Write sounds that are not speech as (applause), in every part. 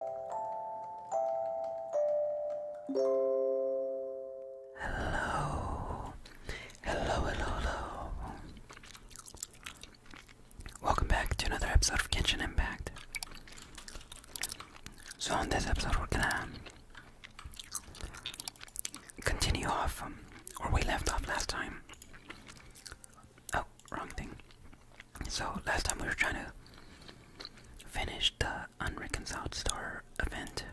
Hello. Hello, hello, hello. Welcome back to another episode of Kitchen Impact. So, on this episode, we're gonna continue off um, where we left off last time. Oh, wrong thing. So last time we were trying to finish the Unreconciled Star event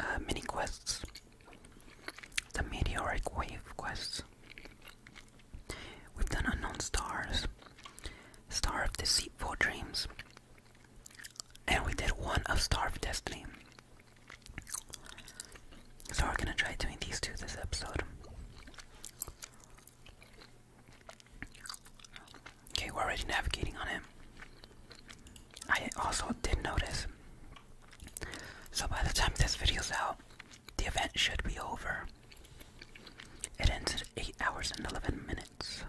uh, mini quests, the meteoric wave quests. We've done unknown stars, star of deceitful dreams, and we did one of star of destiny. So we're gonna try doing these two this episode. Okay, we're already navigating on him. I also did notice. So by the time this video's out, the event should be over. It ends at 8 hours and 11 minutes.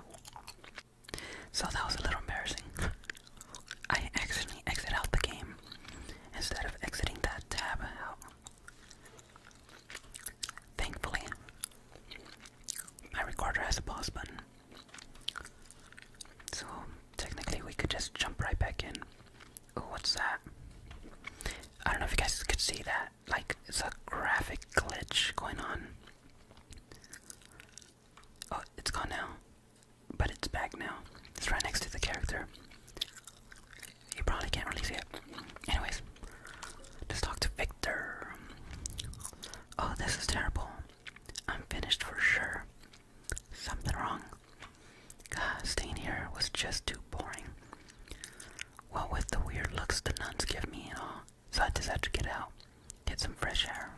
So that was a little embarrassing. (laughs) I accidentally exit out the game instead of exiting that tab out. Thankfully, my recorder has a pause button. So technically, we could just jump right back in. Oh, what's that? I don't know if you guys could see that. Like, it's a graphic glitch going on. Oh, it's gone now. But it's back now. It's right next to the character you probably can't really see it. Anyways, let's talk to Victor. Oh, this is terrible. I'm finished for sure. Something wrong. God, staying here was just too boring. What well, with the weird looks the nuns give me and all, so I decided to get out, get some fresh air.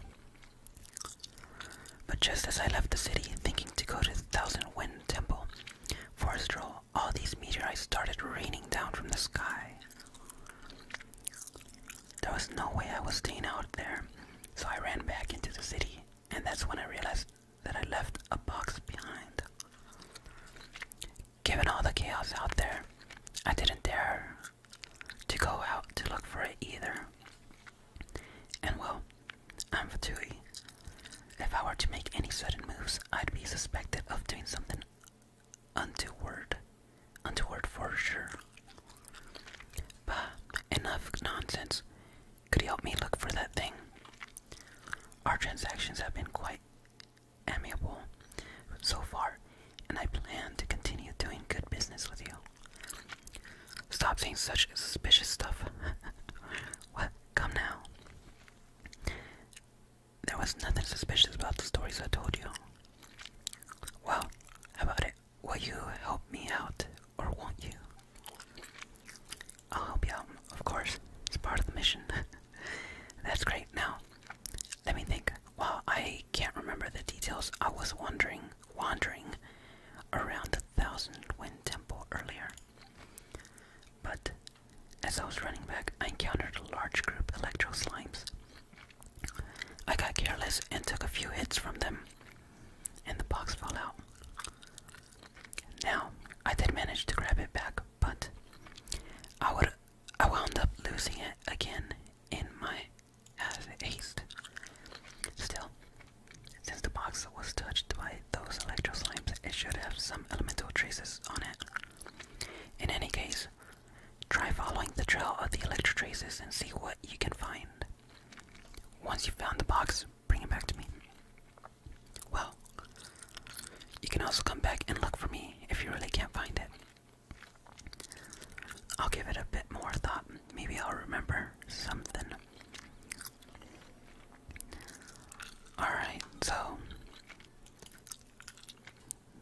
But just as I left the city, thinking to go to the Thousand Wind Temple for a stroll, all, these meteorites started raining down from the sky. There was no way I was staying out there, so I ran back into the city, and that's when I realized that I left a box behind. Given all the chaos out there, I didn't dare to go out to look for it either. And well, I'm Fatui. If I were to make any sudden moves, I'd be suspected of doing something untoward, untoward for sure. Bah, enough nonsense. Could you help me look for that thing? Our transactions have been quite amiable so far, and I plan to continue doing good business with you. Stop saying such suspicious stuff. (laughs) what? Come now. There was nothing suspicious about the stories I told you. Well, how about it? Will you help me out, or won't you? I'll help you of course. It's part of the mission. (laughs) That's great. Now, let me think. While I can't remember the details, I was wandering, wandering around the Thousand Wind Temple earlier. But as I was running back, I encountered a large group of electro slimes. I got careless and took a few hits from them, and the box fell out. Now, I did manage to grab it back, but I would I wound up losing it again in my haste. Still, since the box was touched by those electro slimes, it should have some elemental traces on it. In any case, try following the trail of the electro traces and see what you can find. Once you've found the box, bring it back to me. Well, you can also come back and look for me if you really can't find it. I'll give it a bit more thought. Maybe I'll remember something. Alright, so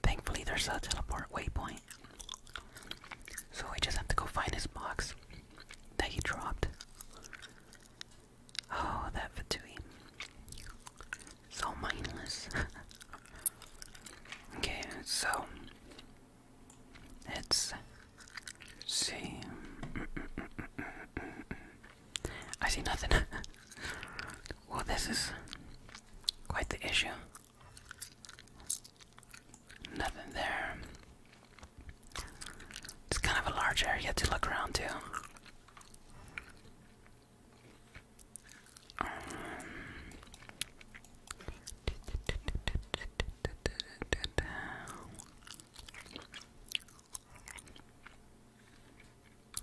Thankfully, there's a teleport waypoint. So we just have to go find this box that he dropped. Oh, that Fatui. So mindless. (laughs) okay, so. let see. I see nothing. (laughs) well, this is quite the issue. Nothing there. It's kind of a large area to look around too. Um,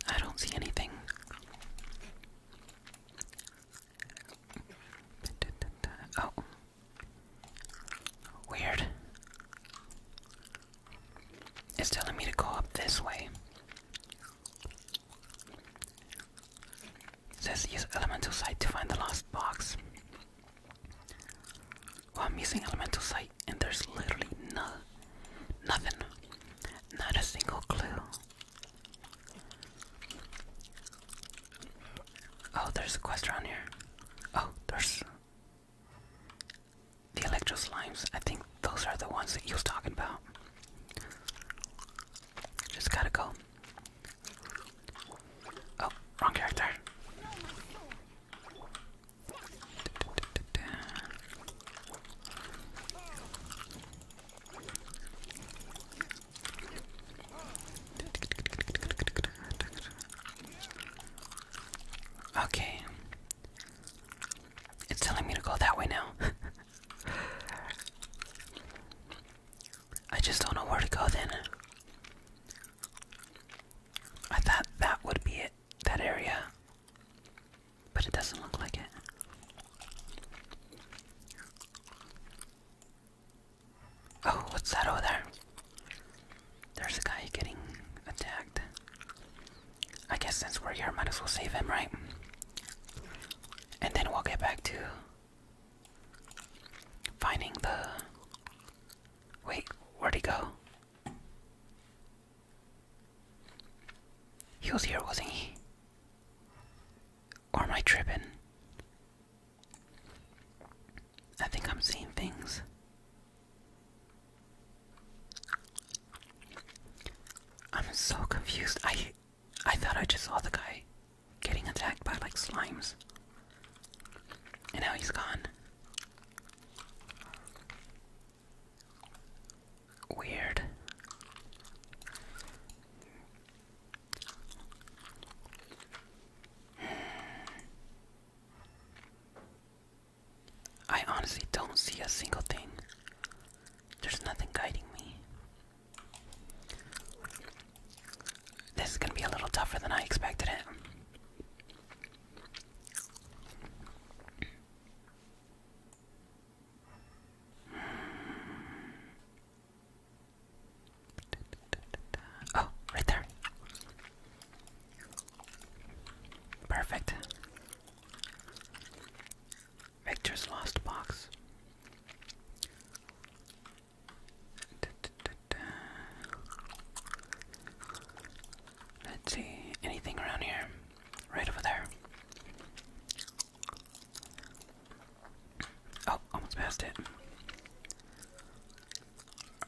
I don't see anything. Oh. Weird. It's telling me to go up this way. It says use elemental sight to find the lost box. Well, I'm using elemental sight and there's literally no nothing. Not a single clue. Oh, there's a quest around here. Oh, there's the electro slimes. I think those are the ones that he was talking about. Just gotta go. Oh, wrong character. Okay. It's telling me to go that way now. (laughs) I just don't know where to go then. I thought that would be it, that area. But it doesn't look like it. Oh, what's that over there? There's a guy getting attacked. I guess since we're here, might as well save him, right? And then we'll get back to finding the. Wait, where'd he go? He was here, wasn't he? Or am I tripping? I think I'm seeing things. I'm so confused. I I thought I just saw the guy getting attacked by like slimes. And now he's gone. Weird. I honestly don't see a single thing. There's nothing guiding me. This is gonna be a little tougher than I expected it. Oh, right there. Perfect. Victor's lost box. Let's see. Anything around here? Right over there. Oh, almost passed it.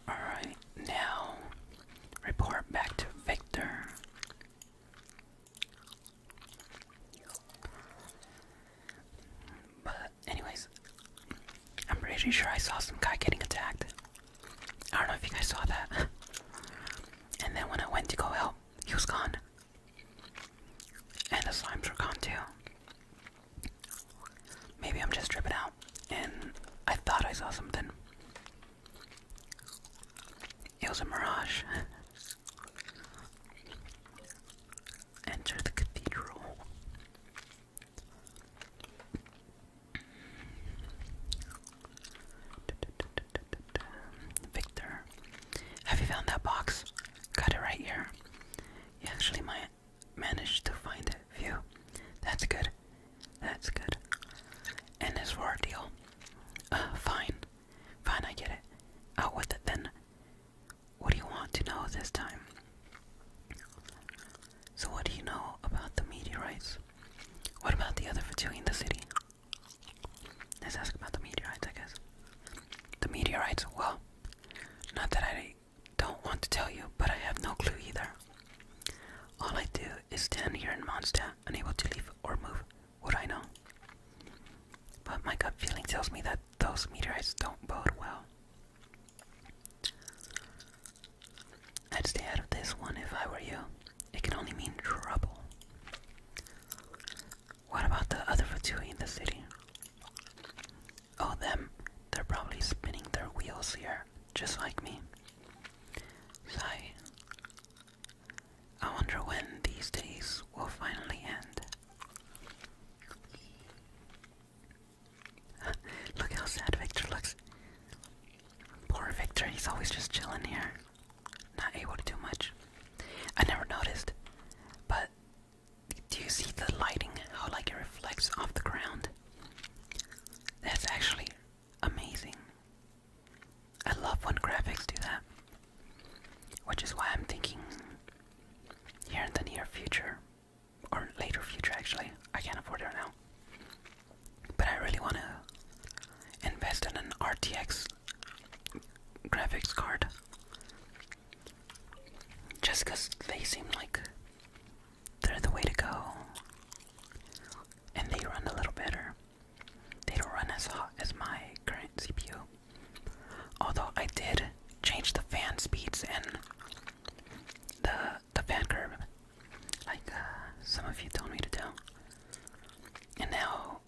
Alright, now report back to Victor. But, anyways, I'm pretty sure I saw some guy getting attacked. I don't know if you guys saw that. (laughs) and then when I went to go help, he was gone. And the slimes were gone too. Maybe I'm just tripping out. And I thought I saw something. It was a mirage. (laughs) Enter the cathedral. Victor, have you found that box? Got it right here. You actually might managed to find it. You, that's good. That's good. And as for our deal. Uh, fine. Fine, I get it. Out with it then. What do you want to know this time? So, what do you know about the meteorites? What about the other two in the city? Let's ask about the meteorites, I guess. The meteorites, well, not that I don't want to tell you, but I have no clue either. All I do is stand here in Mondstadt, unable to leave or move. Would I know? But my gut feeling tells me that those meteorites don't bode well. I'd stay out of this one if I were you. It can only mean trouble. What about the other Fatui in the city? Oh, them. They're probably spinning their wheels here, just like me. Sigh. I wonder when these days will finally end. (laughs) Look how sad Victor looks. Poor Victor, he's always just chilling here. Not able to do much. I never noticed. But do you see the lighting? How like it reflects off the ground? That's actually amazing. I love when graphics do that. Which is why I'm thinking here in the near future, or later future actually, I can't afford it now but I really want to invest in an RTX graphics card just because they seem like they're the way to go and they run a little better. They don't run as hot as my current CPU. Although I did change the fan speeds and the the fan curve, like uh, some of you told me to do. And now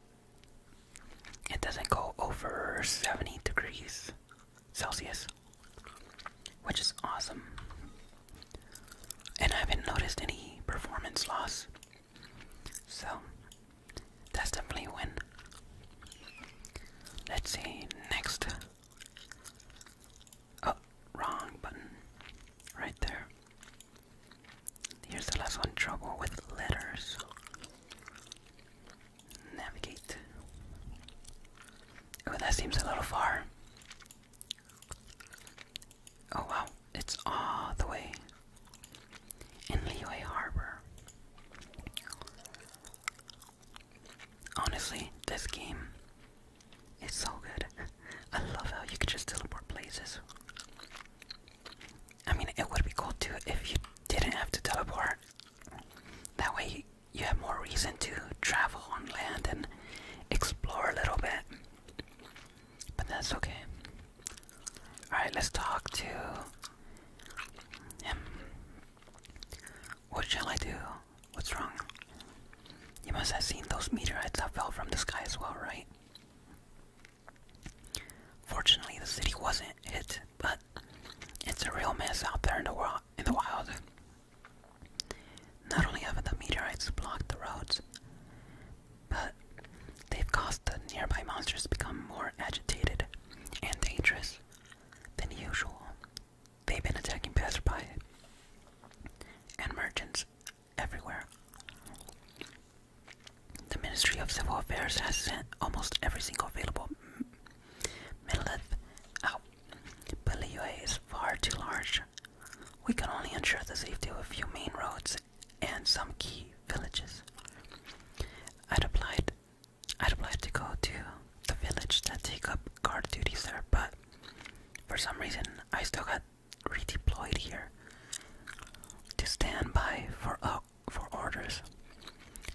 it doesn't go over 70 degrees Celsius, which is awesome. And I haven't noticed any performance loss, so that's definitely a Let's see, next Oh, wrong button. Right there. Here's the last one trouble with letters. Navigate. Oh, that seems a little far. Oh wow, it's all the way in Leeway Harbor. Honestly, this game it's so good. I love how you could just teleport places. I mean, it would be cool too if you didn't have to teleport. That way, you have more reason to travel on land and explore a little bit. But that's okay. Alright, let's talk to him. What shall I do? What's wrong? You must have seen those meteorites that fell from the sky as well, right? Fortunately, the city wasn't hit, but it's a real mess out there in the world, in the wild. Not only have the meteorites blocked the roads, but they've caused the nearby monsters to become more agitated and dangerous than usual. They've been attacking passersby and merchants everywhere. The Ministry of Civil Affairs has sent almost every single available megalith out, but Liyue is far too large. We can only ensure the safety of a few main roads and some key villages. I'd applied I'd applied to go to the village to take up guard duties there, but for some reason, I still got redeployed here to stand by for uh, for orders.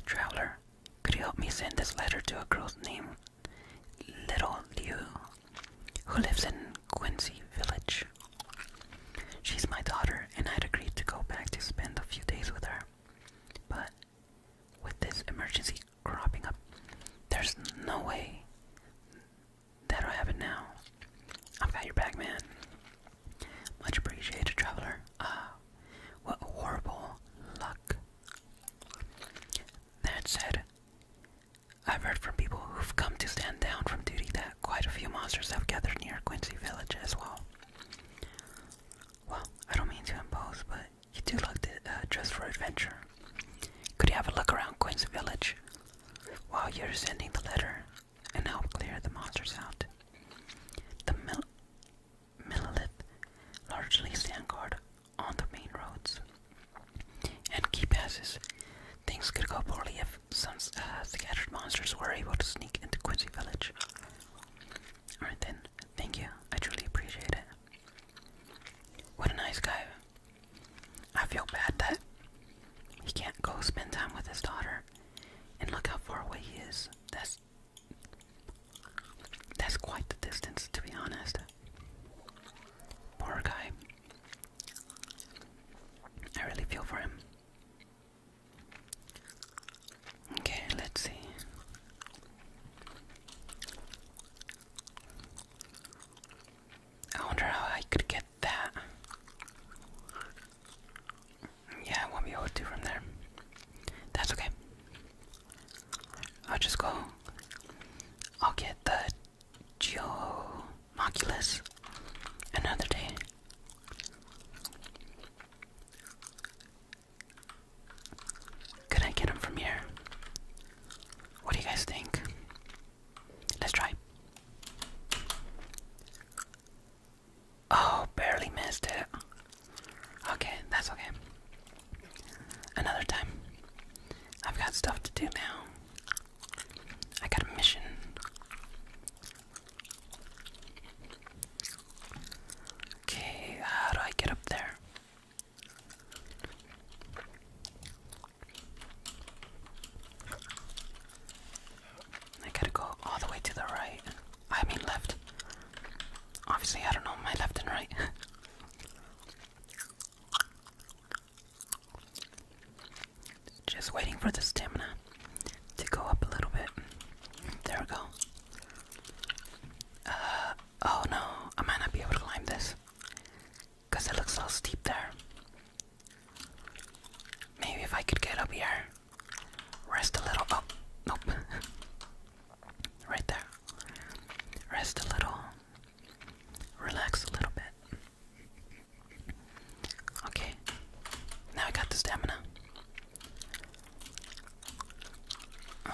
Traveler, could you help me send this letter to a girl's name, Little Liu, who lives in Quincy Village? She's my daughter, and I'd agreed to go back to spend a few days with her. But with this emergency cropping up. There's no way that'll happen now. I've got your back, man. Much appreciated, traveler. Ah, what horrible luck. That said, I've heard from people who've come to stand down from duty that quite a few monsters have gathered near Quincy Village as well. Well, I don't mean to impose, but you do look the uh, for adventure. Could you have a look around Quincy Village while you're sending the letter and help clear the monsters out? The mill largely stand guard on the main roads and key passes. Things could go poorly if some uh, scattered monsters were able to sneak into Quincy Village. Alright then, thank you. I truly appreciate it. What a nice guy. I feel bad that he can't go spend time with his daughter. And look how far away he is. That's that's quite the distance, to be honest. Poor guy. I really feel for him. Okay, let's see. I wonder how I could get that. Yeah, I won't be able to from there. That's okay. I'll just go. I'll get the Geomoculus another day. Could I get him from here? What do you guys think? Let's try. Oh, barely missed it. Okay, that's okay. Another time. I've got stuff to do now. I got a mission. Okay, how do I get up there? I gotta go all the way to the right. I mean left. Obviously, I don't know my left and right. (laughs) Just waiting for the stamina to go up a little bit. There we go. Uh, oh no, I might not be able to climb this. Cause it looks so steep there. Maybe if I could get up here. Rest a little. Oh, nope. (laughs) right there. Rest a little. Relax a little bit. Okay. Now I got the stamina. Um,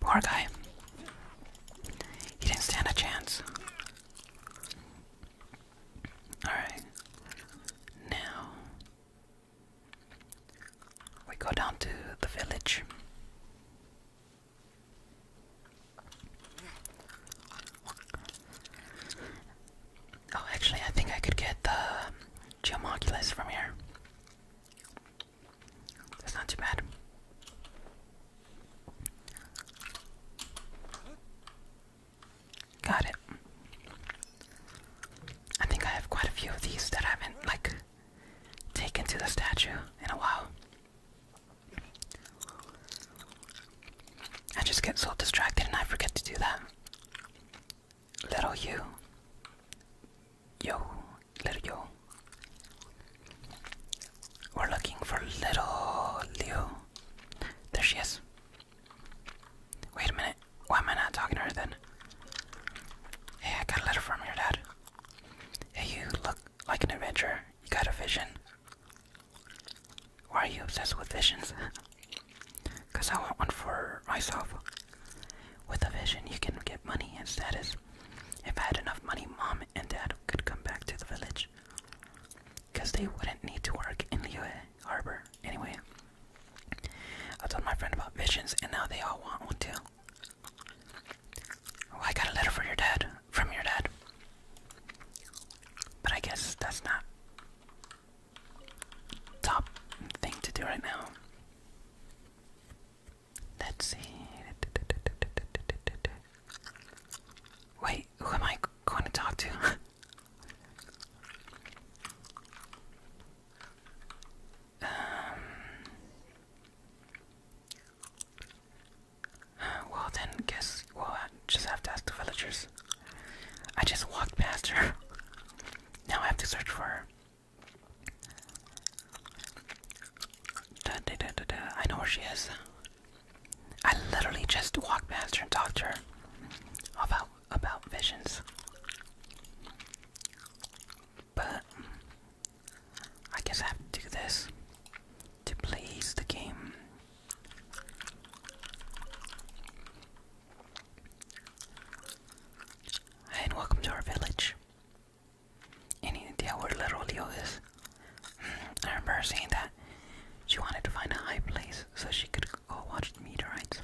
Poor guy. He didn't stand a chance. Alright. Now we go down to the village. Oh, actually, I think I could get the Geomoculus from here. That's not too bad. Got it. I think I have quite a few of these that I haven't, like, taken to the statue in a while. I just get so distracted and I forget to do that. Little you. Yo, little yo. We're looking for little Leo. There she is. Wait a minute. Why am I not talking to her then? Hey, I got a letter from your dad. Hey, you look like an adventurer. You got a vision. Why are you obsessed with visions? Because (laughs) I want one for myself. With a vision, you can get money and status. If I had enough money, mom and dad could come back to the village. Because they wouldn't need to work in Liyue Harbor anyway. I told my friend about visions, and now they all want one too. Oh, I got a letter for your dad from your dad. But I guess that's not top thing to do right now. Let's see. Wait, who am I going to talk to? (laughs) Um, well then, guess we'll I just have to ask the villagers. I just walked past her. (laughs) now I have to search for her. I know where she is. I literally just walked past her and talked to her about about visions. But I guess I have to do this to please the game. And welcome to our village. Any idea where Little Leo is? Hmm, I remember seeing that she wanted to find a high place so she could go watch the meteorites.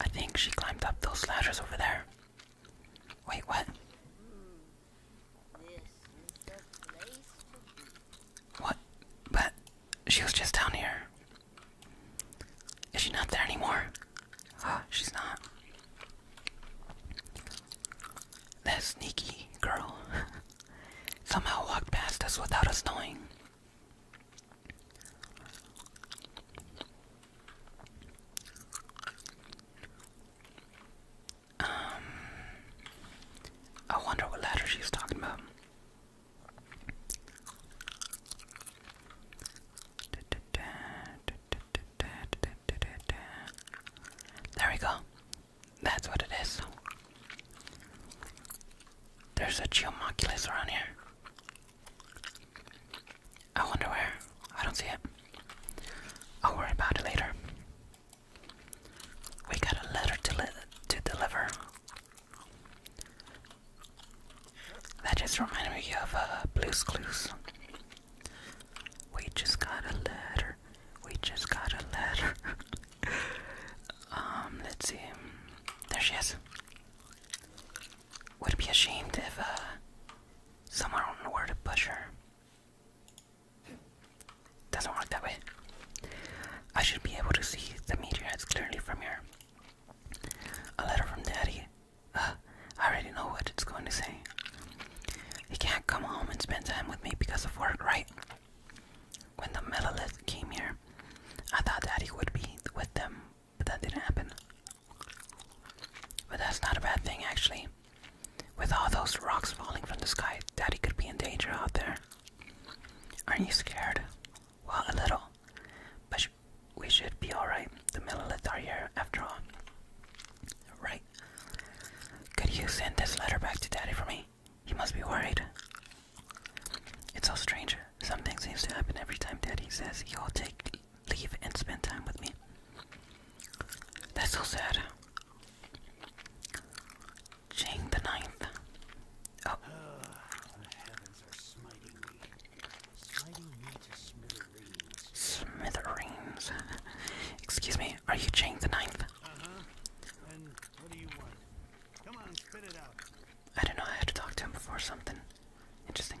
I think she climbed up those ladders over there. Wait, what? What? But she was just down here. Is she not there anymore? Ah, she's not. That sneaky girl (laughs) somehow walked past us without us knowing. Um, I wonder what letter she's talking about. There we go. That's what it is. There's a geomoculus around here. I wonder where. I don't see it. I'll worry about it later. We got a letter to, to deliver. That just reminded me of uh, Blue's Clues. We just got a letter. We just got a letter. (laughs) um, let's see. There she is. Would be ashamed if uh, someone were to push her? Doesn't work that way. I should be able to see the meteorites clearly from here. A letter from Daddy. Uh, I already know what it's going to say. He can't come home and spend time with me because of work, right? When the metalith came here, I thought Daddy would be with them, but that didn't happen. But that's not a bad thing, actually. With all those rocks falling from the sky, Daddy could be in danger out there. Aren't you scared? Well, a little. But we should be alright. The Millilith are here, after all. Right. Could you send this letter back to Daddy for me? He must be worried. It's so strange. Something seems to happen every time Daddy says he'll take leave and spend time with me. That's so sad. Jane the ninth. Oh. Ah, the heavens are smiting me. Smiting Excuse me, are you Jane the ninth? Uh-huh. And what do you want? Come on, spit it out. I don't know, I had to talk to him before something. Interesting.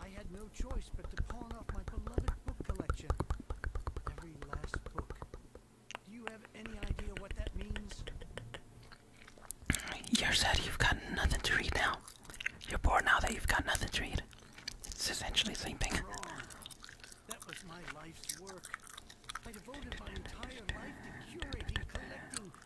I had no choice but to pawn off my beloved book collection. Every last book. Do you have any idea what that means? You're sad you've got nothing to read now. You're bored now that you've got nothing to read. It's essentially the same thing. That was my life's work. I devoted my entire life to curating, collecting,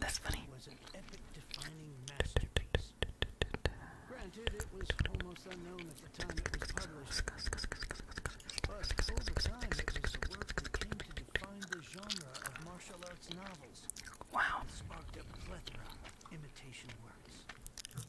That's funny. was an epic defining masterpiece. Granted, it was almost unknown at the time it was published. But over time, it was a work that came to define the genre of martial arts novels. Wow. Sparked a plethora imitation works.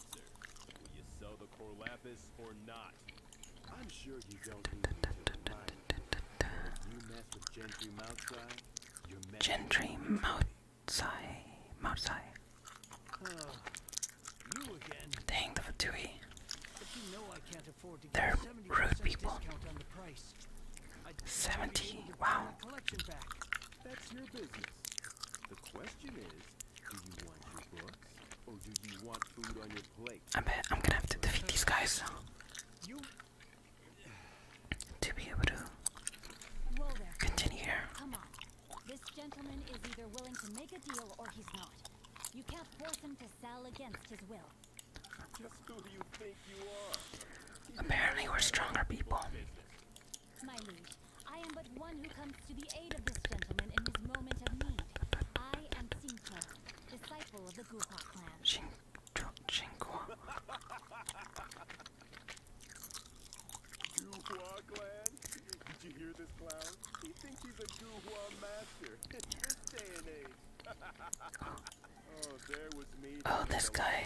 Will you sell the Corlapis or not? I'm sure you don't need to You mess with Gentry Moutsai, you're messing Gentry Moutsai. you again. Dang the Fatui. But you know I can't afford to They're rude people. 70. Wow. That's your business. The question is, do you want food on your plate? I bet I'm gonna have to defeat these guys to be able to continue here. This gentleman is either willing to make a deal or he's not. You can't force him to sell against his will. Apparently, we're stronger people. My liege, I am but one who comes to the aid of this gentleman in his moment of need. I am Xingqua, disciple of the Guhua clan. Xingqua. Guhua (laughs) (laughs) oh, oh, this guy.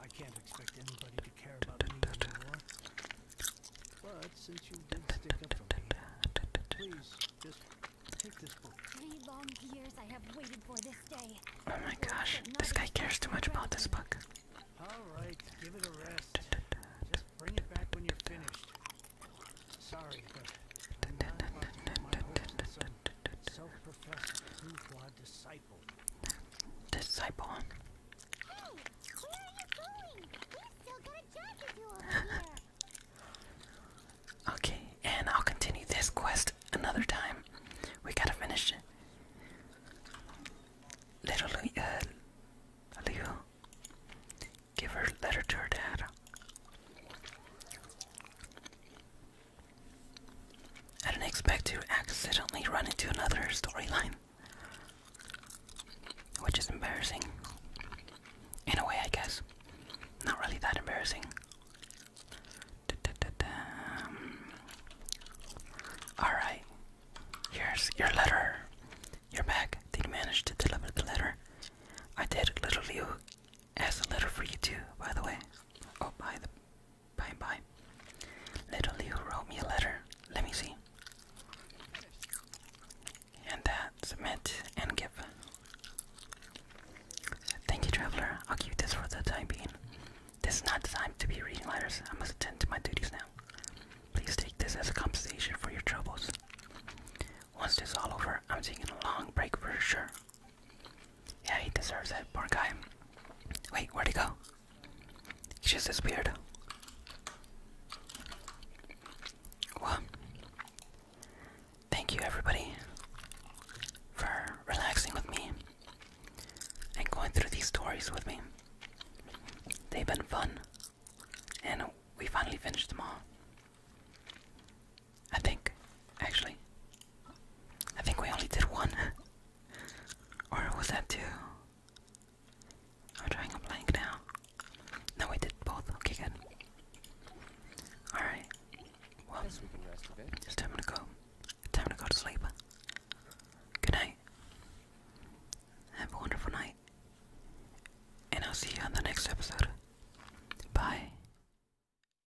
I can't expect anybody to care about me anymore. But since you did stick up for me, Three long years I have waited for this day. Oh my gosh, this guy cares too much about this book. Alright, give it a rest. Just bring it back when you're finished. Sorry, Self-professed Zufwa disciple. Disciple. okay, and I'll continue this quest another time. We gotta finish it. Little uh, Leo. Give her letter to her dad. I didn't expect to accidentally run into another storyline. Which is embarrassing. In a way, I guess. Not really that embarrassing. Alright. Here's your letter. You're back. Did you manage to deliver the letter? I did. Little Liu has a letter for you too, by the way. Oh, by the by and by. Little Leo wrote me a letter. Let me see. And that, submit and give. Thank you, traveler. I'll keep this for the time being. This is not the time to be reading letters. I must attend to my duties now. Please take this as a compensation for your troubles. Once this is all over, I'm taking a long break for sure. Yeah, he deserves it, poor guy. Wait, where'd he go? He just disappeared. Well, thank you everybody for relaxing with me and going through these stories with me. They've been fun, and we finally finished them all. I think, actually. I think we only did one. (laughs) or was that two? I'm trying to blank now. No, we did both. Okay, good. Alright. Well, it's time to go. time to go to sleep. Good night. Have a wonderful night. And I'll see you on the next episode. Bye.